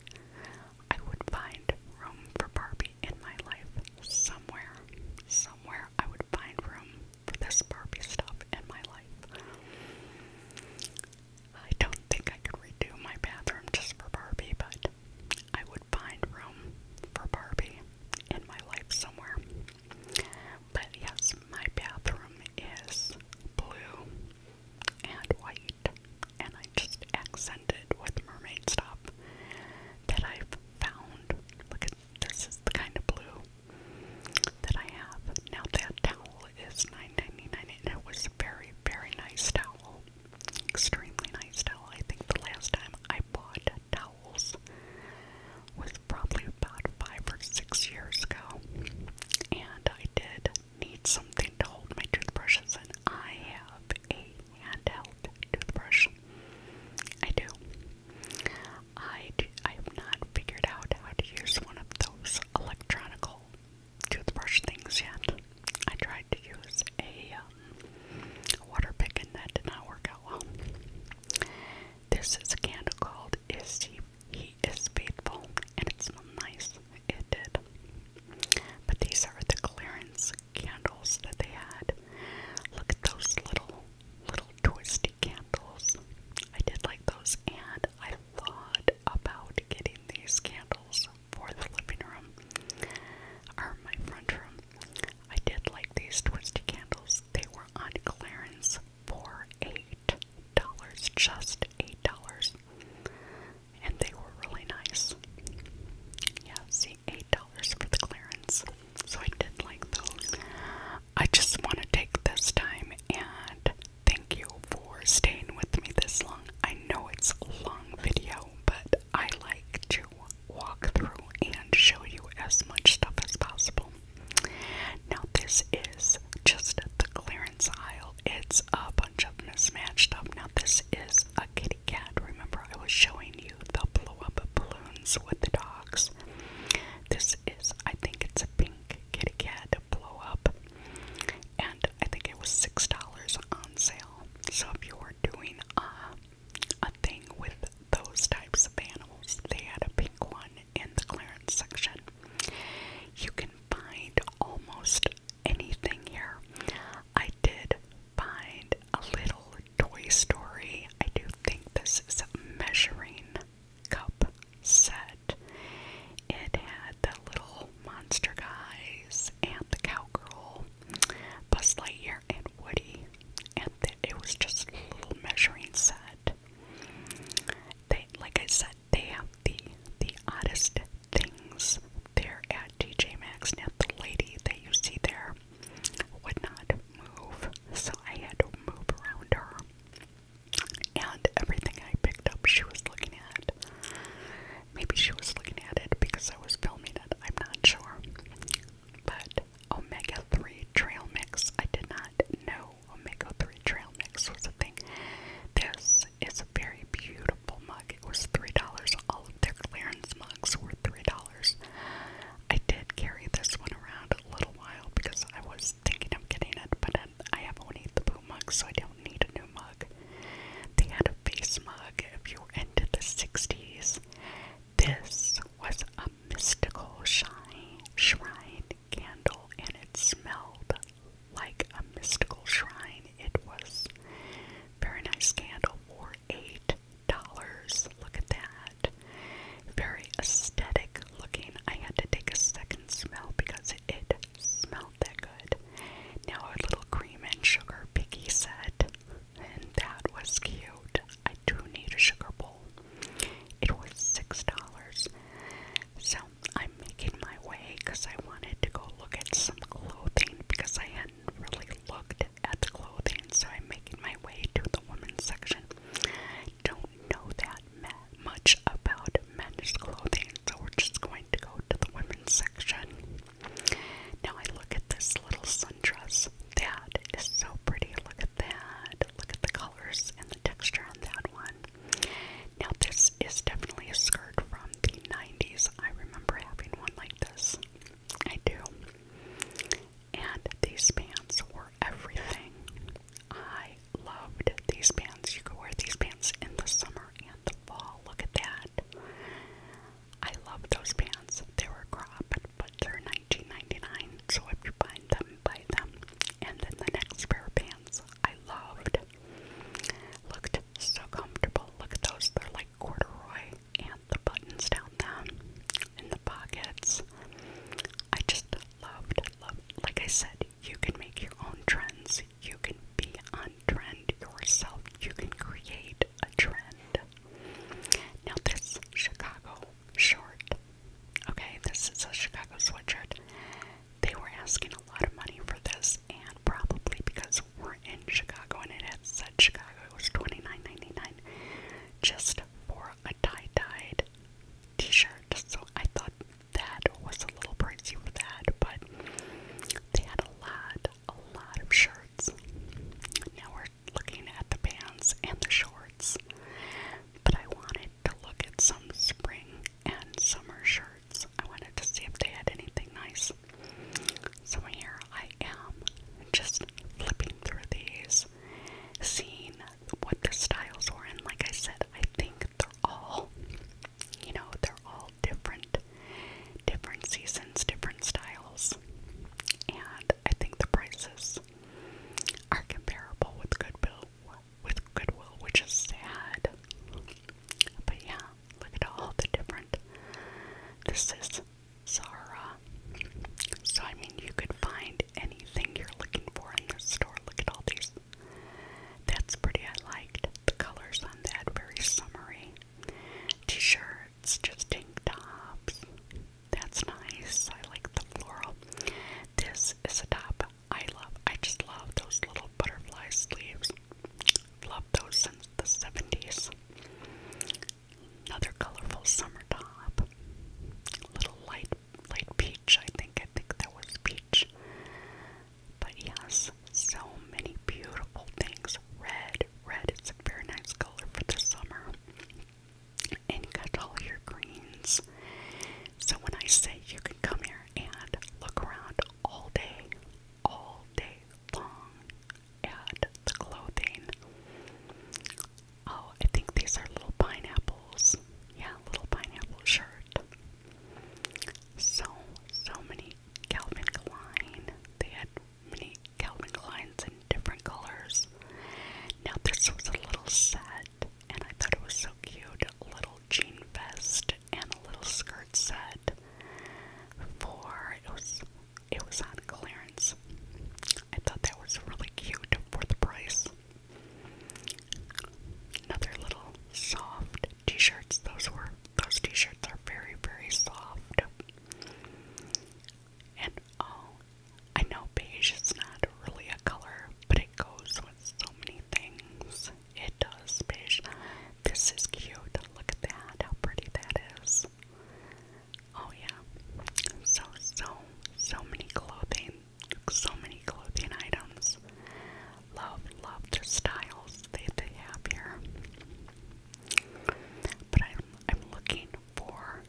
I would find room for Barbie in my life somewhere. Somewhere I would find room for this Barbie stuff in my life. I don't think I could redo my bathroom just for Barbie, but I would find room for Barbie in my life somewhere. But yes, my bathroom is blue and white, and I just accent it with mermaid stuff that I've found. Look at this is the kind of blue that I have. Now that towel is nine ninety nine, and it was a very, very nice towel. Extremely nice towel. I think the last time I bought a towel was probably about five or six years ago, and I did need something to hold my toothbrushes, and I have a handheld toothbrush. I do. I, do, I have not figured out how to use one of those electronic toothbrush things yet. I tried to use a um, water pick and that did not work out well. This is a candle called Is He, he Is Faithful, and it smelled nice. It did. But these are the clearance candles that they had. Look at those little, little twisty candles. I did like those, and I thought about getting these candles for the living room or my front room. I did like these twisty candles. They were on clearance for eight dollars, just eight dollars. And they were really nice. Yeah, eight dollars for the clearance. So I did like those. I just want to take this time and thank you for staying with me this long. I know it's a long video, but I like to walk through and show you as much stuff as possible. Now, this is just the clearance aisle. It's a bunch of mismatched up. Now, this is a kitty cat. Remember, I was showing you the blow up balloons with the dogs. This is, I think it's a pink kitty cat blow up. And I think it was $6 on sale. So, if you were doing a, uh, a thing with those types of animals, they had a pink one in the clearance section. You can find almost anything here. I did find a little Toy Story. I do think this is a measuring cup set. It had the little monster guys and the cowgirl, Buzz Lightyear and Woody, and then it was just a little measuring set. They, like I said, they have the the oddest things there at DJ Maxx. Now the lady that you see there would not move, so I had to move around her. And everything I picked up, she was looking at. Maybe she was looking at it because I was filming it. I'm not sure. But omega 3 trail mix, I did not know omega-3 trail mix was a thing. This is a very beautiful mug. It was $3. All of their clearance mugs were $3. I did carry this one around a little while because I was thinking of getting it, but I have only the blue mug, so I don't need a new mug. They had a face mug if you were into the 60s. This was a mystical shrine candle and it smelled like a mystical shrine. It was very nice candle for eight dollars. Look at that. Very aesthetic looking. I had to take a second smell because it, smelled that good. Now a little cream and sugar piggy set. And that was cute. I do need a sugar bowl. It was six dollars. So I'm making my way because I wanted to go look at some clothing because I hadn't really looked at the clothing. So I'm making my way to the women's section. Don't know that much about men's clothing, so we're just going to go to the women's section. Now I look at this little sundress. That is so pretty. Look at that. Look at the color and the texture on that one. Now, this is definitely a skirt from the 90s. I remember having one like this. I do. And these pants were everything. I loved these pants. You could wear these pants in the summer and the fall. Look at that. I love those pants. They were cropped, but they are 19.99. So if you find them by them. And then the next pair of pants I loved. Looked so comfortable. Look at those, they're like corduroy and the buttons down them in the pockets. I just loved like I said, you can make your own trends. You can be on trend yourself. You can create a trend. Now this Chicago short. Okay, this is a Chicago sweatshirt. They were asking a lot of money for this, and probably because we're in Chicago and it had said Chicago, it was $29.99 just for a tie dyed t shirt. So I thought that was a little pricey for that, but they had a lot, a lot of shirts. Now we're looking at the pants and the shorts, but I wanted to look at some spring and summer shirts. I wanted to see if they had anything nice. So here I am, just flipping through these, seeing what the styles were. And like I said, I think they're all, you know, they're all different, different seasons, different styles. And I think the prices are comparable with Goodwill with Goodwill, which is sad. But yeah, look at all the different. This is Sarah, So, I mean, you could find anything you're looking for in this store. Look at all these. That's pretty. I liked the colors on that. Very summery. T shirts, just tank tops. That's nice. I like the floral. This is a top I love, I just love those little butterfly sleeves. Love those since the 70s. Another colorful summer top. little light, light peach, I think. I think that was peach. But yes, so many beautiful things. Red, red is a very nice color for the summer and cut all your greens. So when I say you can come here and look around all day, all day long at the clothing. Oh, I think these are little pineapples. Yeah, little pineapple shirt. So, so many Calvin Klein. They had many Calvin Kleins in different colors. Now, this was a little sad and I thought it was so cute. Little jean vest and a little skirt set for it was it was on clearance. I thought that was really cute for the price. Another little soft t-shirts. Those were those t-shirts are very very soft. And oh, I know beige is not really a color, but it goes so many things. It does, Bish. This is cute. Look at that. How pretty that is. Oh, yeah. So, so, so many clothing. So many clothing items. Love, love the styles they, they have here. But I'm, I'm looking for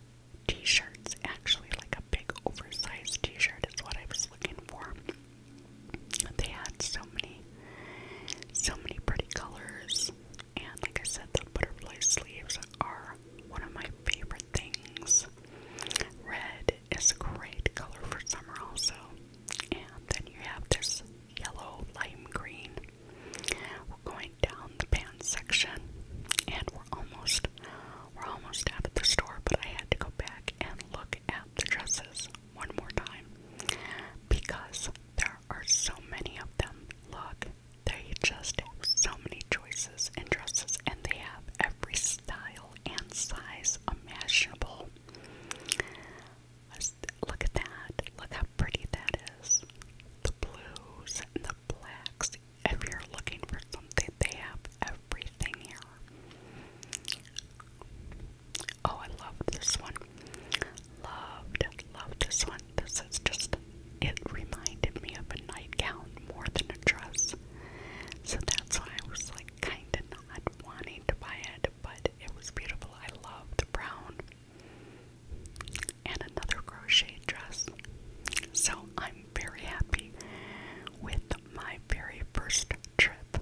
t shirts, actually, like a big oversized t shirt is what I've looking for. They had so many, so many pretty colors, and like I said, the butterfly sleeves are one of my favorite things. Red is a great color for summer, also, and then you have this yellow lime green. We're going down the pants section, and we're almost we're almost out of the store, but I had to go back and look at the dresses one more time because there are so many of them. Look, they just have so many choices in dresses, and they have every style and size imaginable. Look at that. Look how pretty that is. The blues the blacks. If you're looking for something, they have everything here. Oh, I love this one. Loved, loved this one. This is just, it reminded me of a nightgown more than a dress. So that's why I was like kind of not wanting to buy it, but it was beautiful. I loved the brown. And another crochet dress. So I'm very happy with my very first trip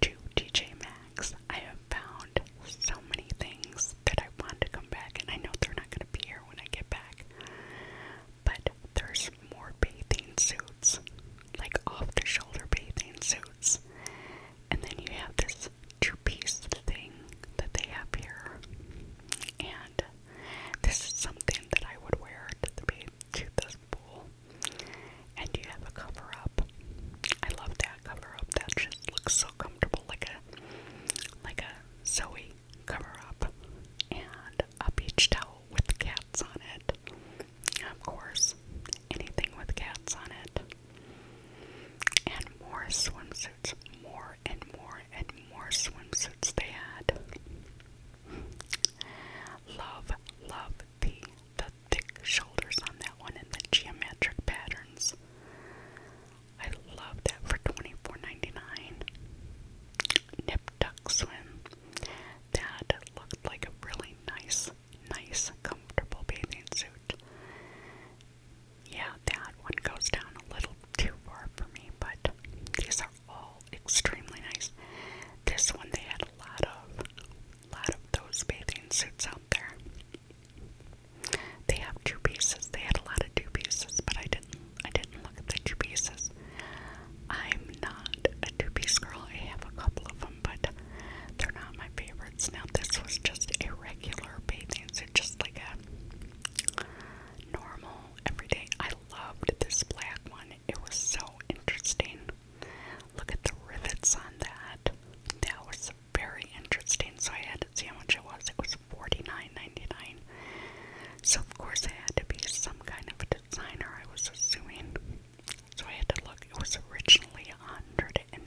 to TJ Maxx, I have found so many things that I want to come back, and I know they're not going to be here when I get back. But there's more bathing suits, like off the shoulder bathing suits. And then you have this two piece thing that they have here. And this is something that I would wear to the beach to this pool and you have a cover up. I love that cover up. That just looks so comfortable like a like a Zoe cover up and a beach towel with cats on it. Of course, anything with cats on it. And more swimsuits, more and more and more swimsuits they had. Love, love the the thick shoulders on that one and the geometric patterns. I love that for $24.99. Nip tuck swim. That looked like a really nice, nice, comfortable bathing suit. Yeah, that one goes down a little too far for me, but these are all extremely nice. This one they had a lot of, a lot of those bathing suits out there. They have two pieces. They had a lot of two pieces, but I didn't. I didn't look at the two pieces. I'm not a two piece girl. I have a couple of them, but they're not my favorites. Now this was just a regular bathing suit, just like a normal everyday. I loved this black one. It was so interesting. Look at the rivets on that. That was very interesting. So I had to see how much it was. It was $49.99. So of course it had to be some kind of designer, I was assuming. So I had to look. It was originally $188.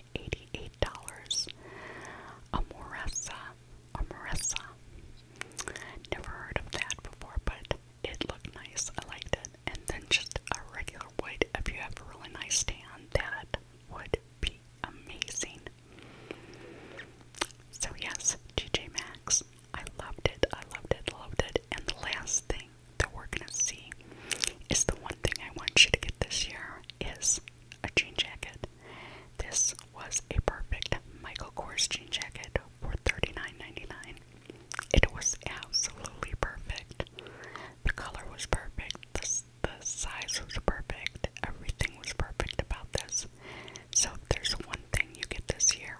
A Moressa. Never heard of that before, but it looked nice. I liked it. And then just a regular white. If you have a really nice stand, that would be amazing. So yes, TJ Max. I loved it. I loved it. Loved it. And the last thing that we're gonna see is the one thing I want you to get this year is a jean jacket. This was a perfect Michael Kors jean jacket for $39.99. It was absolutely perfect. The color was perfect. The, the size was perfect. Everything was perfect about this. So if there's one thing you get this year,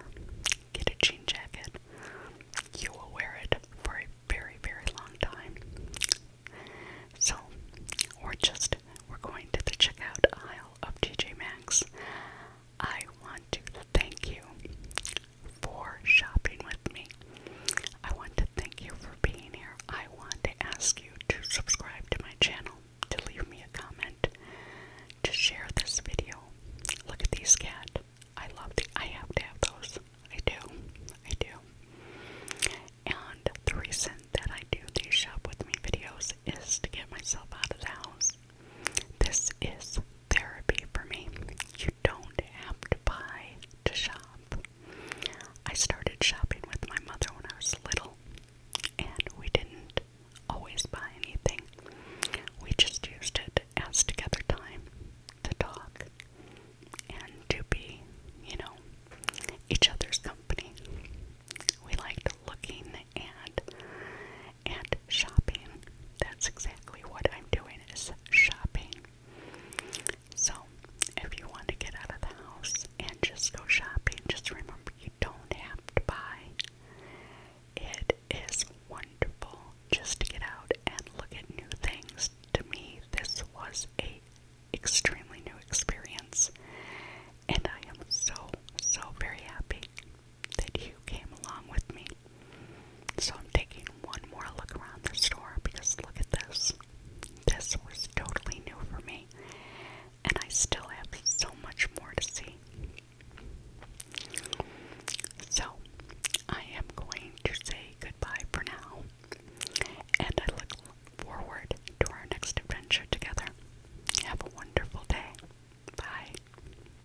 get a jean jacket. You will wear it for a very, very long time. So, we're just, we're going to the checkout aisle of TJ Maxx. I want to thank you for shopping with me. I want to thank you for being here. I want to ask you to subscribe to my channel, to leave me a comment, to share this video. Look at these cat. I love the I have to have those. I do. I do. And the reason that I do these shop with me videos is to get myself out of the house this is therapy for me. You don't have to buy to shop. I started shopping with my mother when I was little, and we didn't always buy anything. We just used it as together time to talk and to be, you know, each other's company. We liked looking and and shopping. That's exactly what I'm doing is shopping. So if you want to get out of the house and just go shopping, just remember you don't have to buy. It is wonderful just to get out and look at new things. To me, this was a extremely new experience and I am so so very happy that you came along with me. So I'm taking one more look around the store because look at this. This was totally new for me, and I still have so much more to see. So I am going to say goodbye for now, and I look forward to our next adventure together. Have a wonderful day. Bye.